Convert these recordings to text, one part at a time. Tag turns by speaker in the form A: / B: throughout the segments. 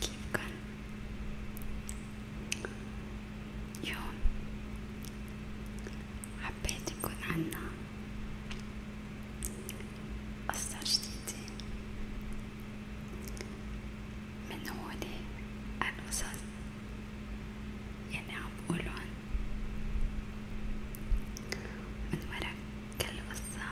A: كيفكن يوم حبيت يكون عنا قصة جديدة من هول القصص يلي عم بقولن من ورا كل قصة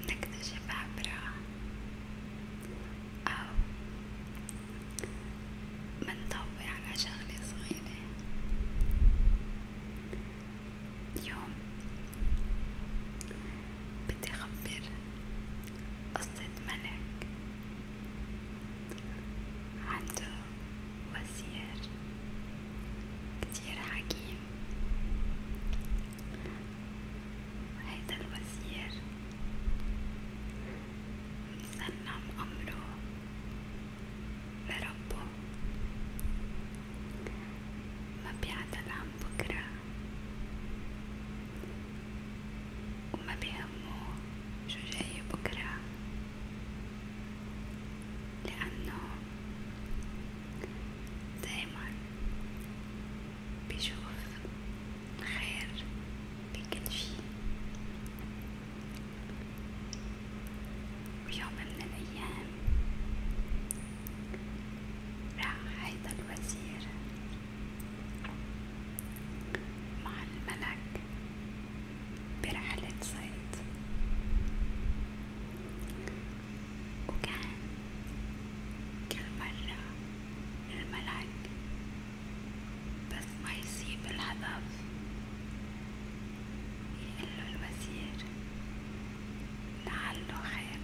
A: نكتشف عبرها أو منضوي على شغلة صغيرة اليوم بدي أخبر قصة ملك عنده وزير كتير حكيم هيدا الوزير سلم أمره لربه ما بيعدل عن بكرة وما بيهمه شو جاي بكرة لأنه دايما بشوف الخير بكل شي ويوم من الأيام راح هيدا الوزير مع الملك برحلة صيد وكان كل مرة الملك بس ما يصيب الهدف يقله الوزير لعله خير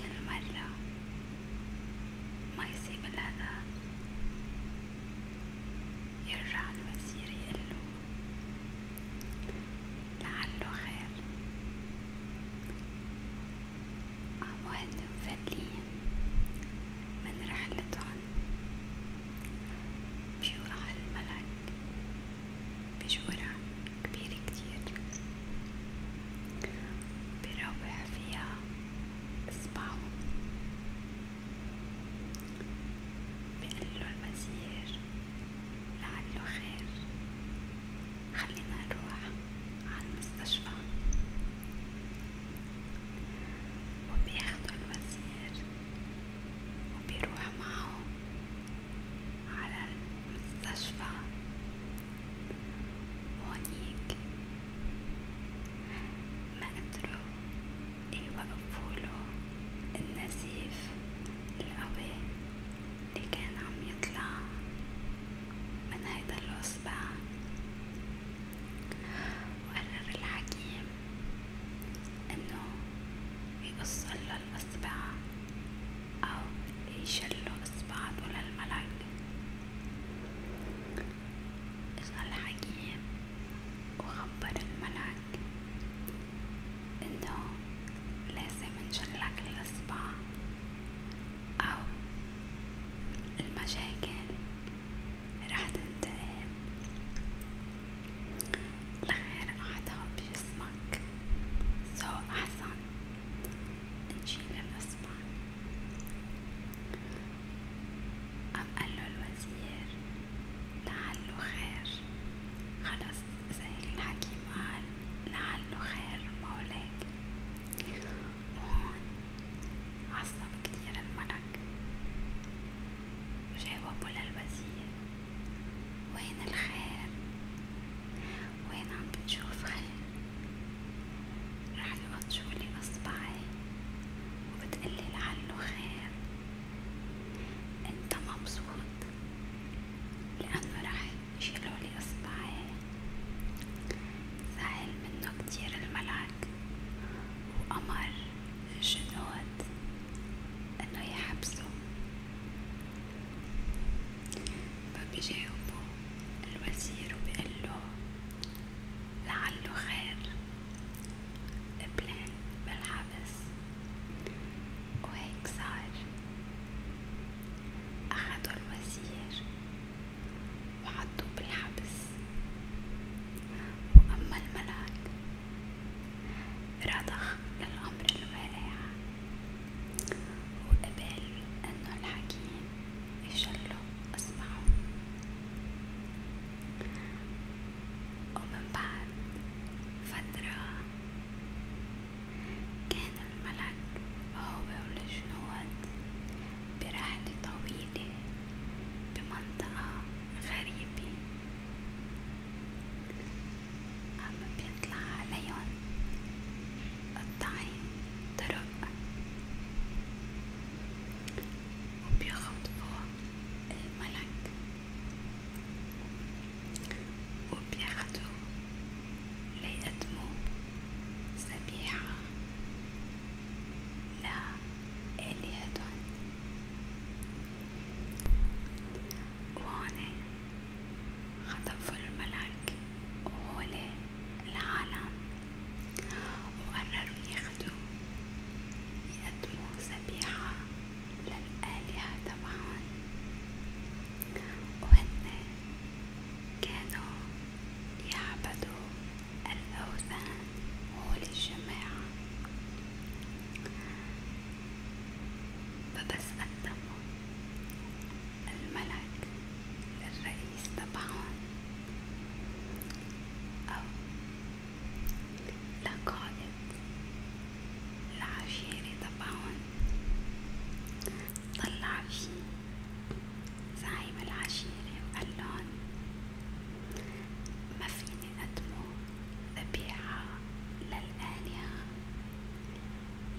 A: كل مرة ما يصيب الهدف يرجع الوزير يقله لعله خير عواد مفلين من رحلتهم بيورع الملك بجورة كبيرة كتير بيروح فيها إصبعه بنقله المسير لعله خير خلينا نروح عالمستشفى وبياخدوا الوزير وبيروح معه على المستشفى وهونيك ما قدروا وقفوله النزيف القوي اللي كان عم يطلع من هيدا الأصبع وقرر الحكيم انه يقص له الأصبع أو يشله أصبعته للملك إجا الحكيم وخبر الملك انه لازم نشلك الأصبع أو المشاكل رح تنتقل لغير أعضاء بجسمك سو أحسن نشيل الأصبع قام قاله الوزير لعله خير خلص سهل الحكيم قال لعله خير مولاك وهون عصب كتير الملك وجاوبه للوزير وين الخير وين عم بتشوف خير رح تحط شغلي اصبعي وبتقلي لعله خير انت مبسوط لانه رح يشيلولي اصبعي زعل منه كتير الملك وامر الجنود انه يحبسه فبيجاوبه الوزير وبيقله لعله خير قبلان بالحبس وهيك صار أخدوا الوزير وحطوه بالحبس وأما الملاك رضخ للأمر الواقع وقبل أنه الحكيم يشلوا أصبعهم ومن بعد فترة كان الملك هو والجنود برحلة طويلة بمنطقة غريبة عم بيطلع عليهم قطعي طرق وبيخطفوا الملك وبياخدوا ليقدموا ذبيحة لآلهتن وهون خطفوا الملك وهولي العالم وقرروا ياخدوا يقدموا ذبيحة للآلهة تبعهم وهن كانوا يعبدوا الأوثان هول الجماعة فبس قدموا الملك الرئيس تبعهم أو لقائد العشيرة تبعهم طلع في زعيم العشيرة وقالن ما فيني أقدمه ذبيحة للآلهة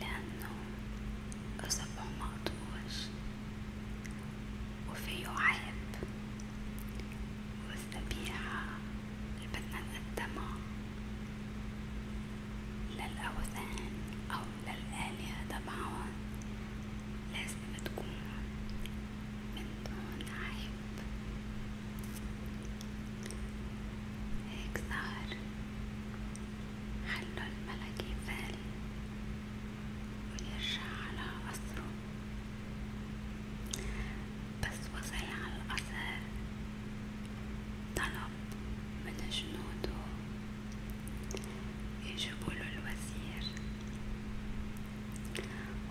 A: لأنه أصبعه مقطوع وفيه عيب والذبيحة اللي بدنا نقدمها للأوثان أو للآلهة تبعهم لازم تكون من دون عيب هيك صار حل الملك يفال ويرجع على قصره بس وصل على القصر طلب من جنوده يجيبوله الوزير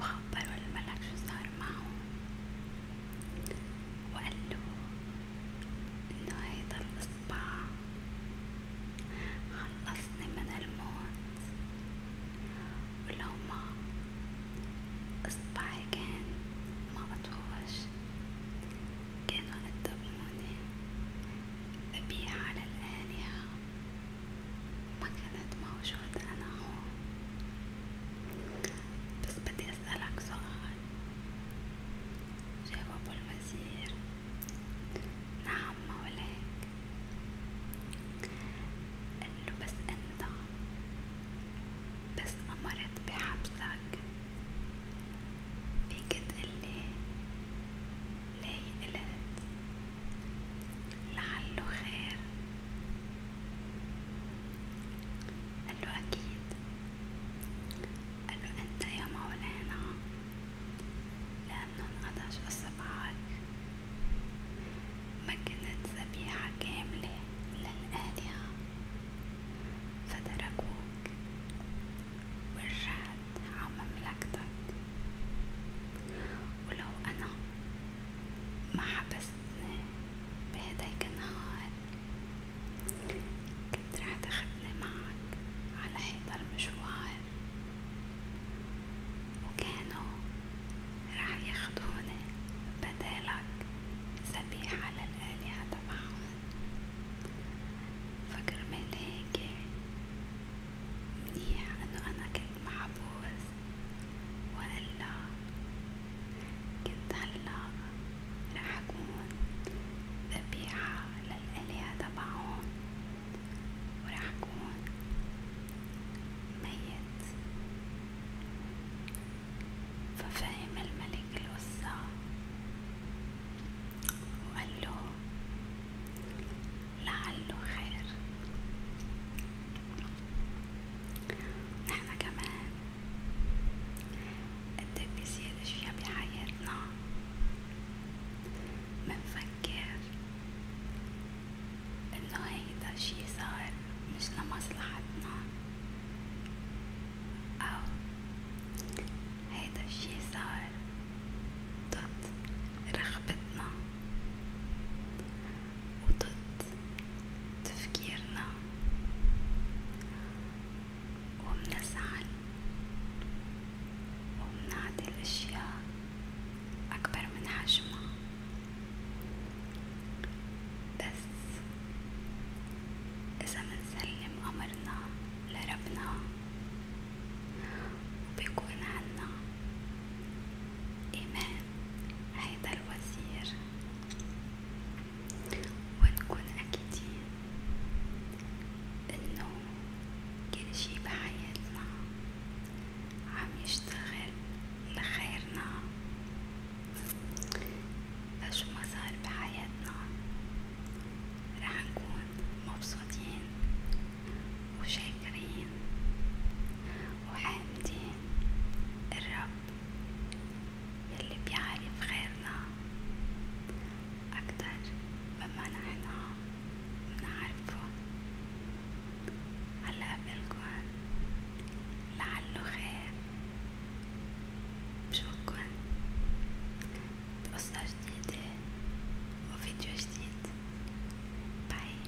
A: وخبروا الملك شو صار معه وقالوا انه هيدا القصر الصباح خلصني من الموت ولو ما اصبعي كان ما اتوش كانوا قدموني ابيع على الآلهة ما كنت موجودة انا هون بس بدي اسألك سؤال جاوب الوزير نعم مولاك قاله بس انت بس امرت بحبسك فيك تقلي ليه قلت لعله خير قاله اكيد قالوا أنت يا مولانا لأنه انقطع أصبعك ما كانت ذبيحة كاملة للآلهة فتركوك ورجعت على مملكتك ولو أنا ما حبستني بهداك النهار كنت راح تاخدني معك على هيدا المشوار وكانوا راح ياخدوني بدالك ذبيحة للآلهة تبعهم فكرمال هيك منيح انه انا كنت محبوس وإلا كنت هلا راح أكون ذبيحة للآلهة تبعهم وراح أكون ميت ففهم الملك القصة وقاله لعله خير نحنا كمان قد بيصير اشياء بحياتنا منفكر انه هيدا الشي صار مش لمصلحتنا او هيدا الشي صار ضد رغبتنا وضد تفكيرنا ومنزعل ومنعطي الأشياء أكبر من حجمها بس إذا منسلم أمرنا لربنا وبيكون عنا إيمان هيدا الوزير ونكون أكيدين إنه كل شي بحياتنا عم يشتغل لخيرنا فشو ما صار بحياتنا رح نكون مبسوطين وشاكرين وحامدين الرب يلي بيعرف غيرنا أكتر مما نحن منعرفه هلا قبلكن لعله خير بشوفكن بقصة جديدة وفيديو جديد باي